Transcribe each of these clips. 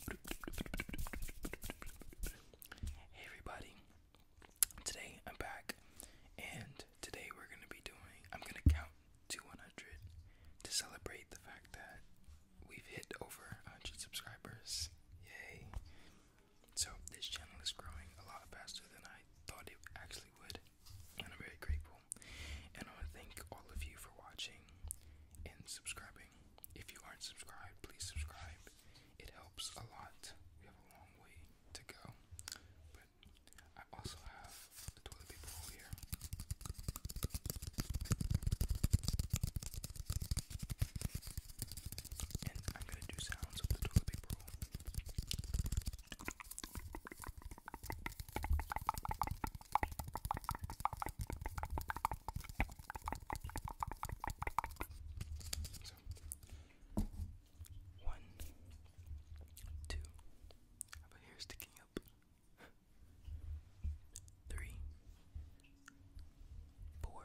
Hey everybody, today I'm back, and today we're gonna be doing. I'm gonna count to 100 to celebrate the fact that we've hit over 100 subscribers. Yay! So, this channel is growing a lot faster than I thought it actually would, and I'm very grateful. And I want to thank all of you for watching and subscribing. If you aren't subscribed, please subscribe. It helps a lot. We have a long way to go. But I also have the toilet paper here. And I'm gonna do sounds of the toilet paper so, one, two, have a hair sticking up. Three, four,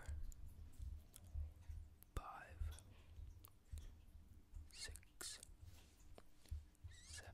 five, six, seven,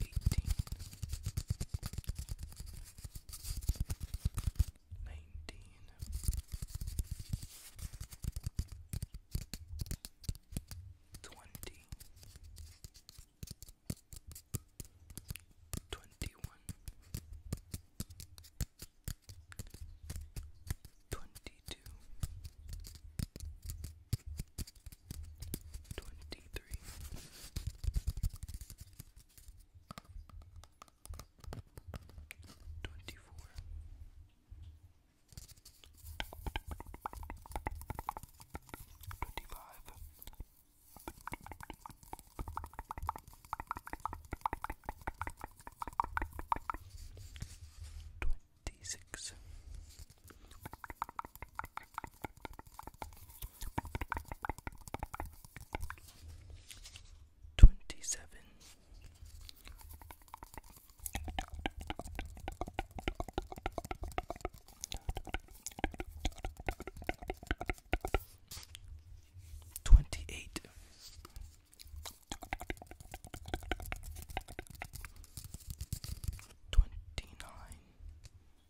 eighteen, nineteen, twenty, twenty-one, twenty-two. 22 23 twenty-three. Twenty-four. Twenty-five. Twenty-six. Twenty seven, twenty eight, twenty nine.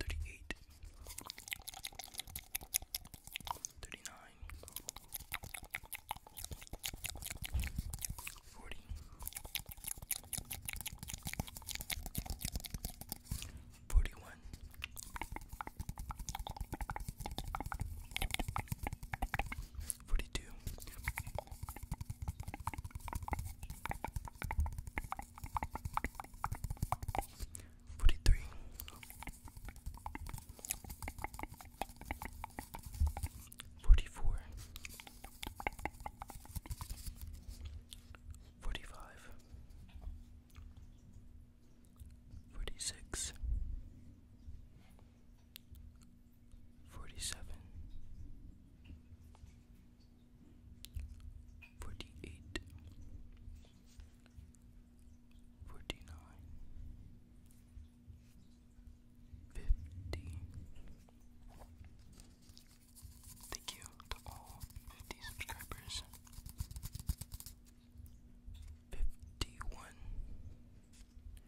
Thirty-eight, thirty-nine, forty, forty-one. 42. Forty-three, forty-four, forty-five, forty-six, forty seven, forty eight, forty nine, fifty. Thank you to all fifty subscribers. Fifty one.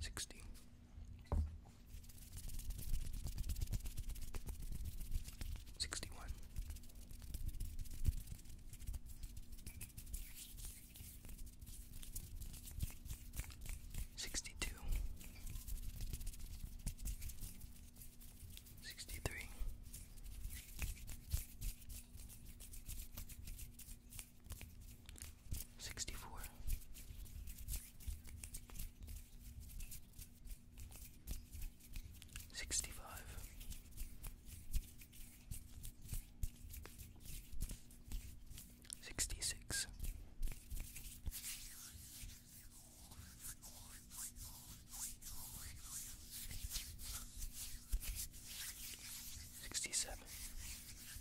sixty. Sixty one, sixty two, sixty three, 64 65 66 67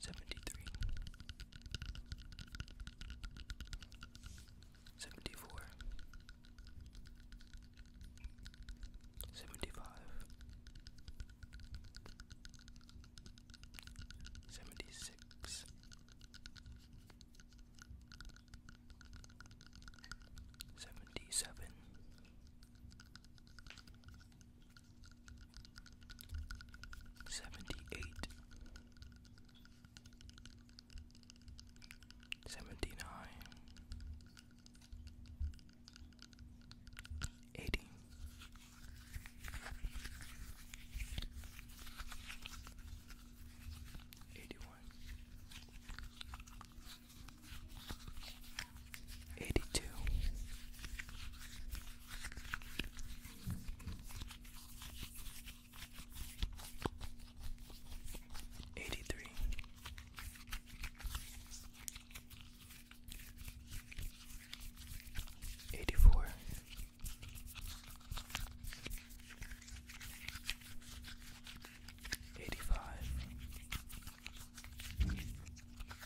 Seventy-three, seventy-four, seventy-five, seventy-six, seventy-seven. Seventy-eight, seventy-nine, eighty, eighty-one, 82 83 84 85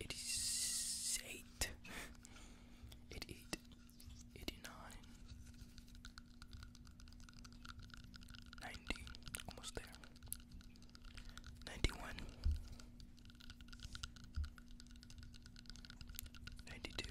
It It eight. Eighty nine. Ninety. Almost there. Ninety one. Ninety two.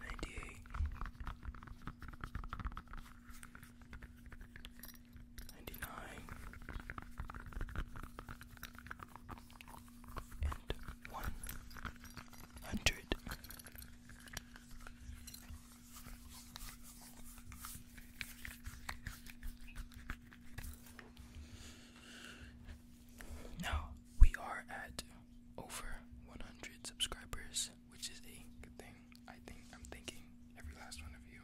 Ninety-eight. And one hundred. Now we are at over 100 subscribers, which is a good thing. I think I'm thinking every last one of you.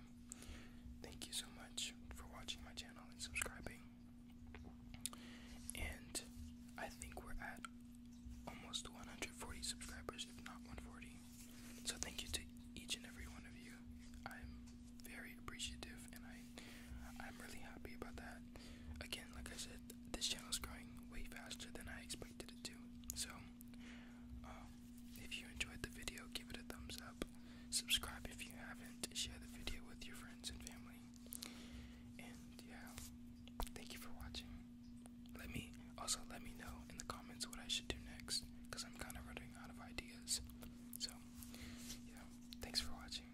Thank you so much for watching my channel and subscribing. And I think we're at almost 140 subscribers, if not 140. So thank you to each and every one of you. I'm very appreciative and I I'm really happy about that. Again, like I said, this channel is growing way faster than I expected it to. So, um, if you enjoyed the video, give it a thumbs up. Subscribe if you haven't. Share the video with your friends and family. And yeah, thank you for watching. Let me also let me know in the comments what I should do next, cause I'm kind of running out of ideas. So, yeah, thanks for watching.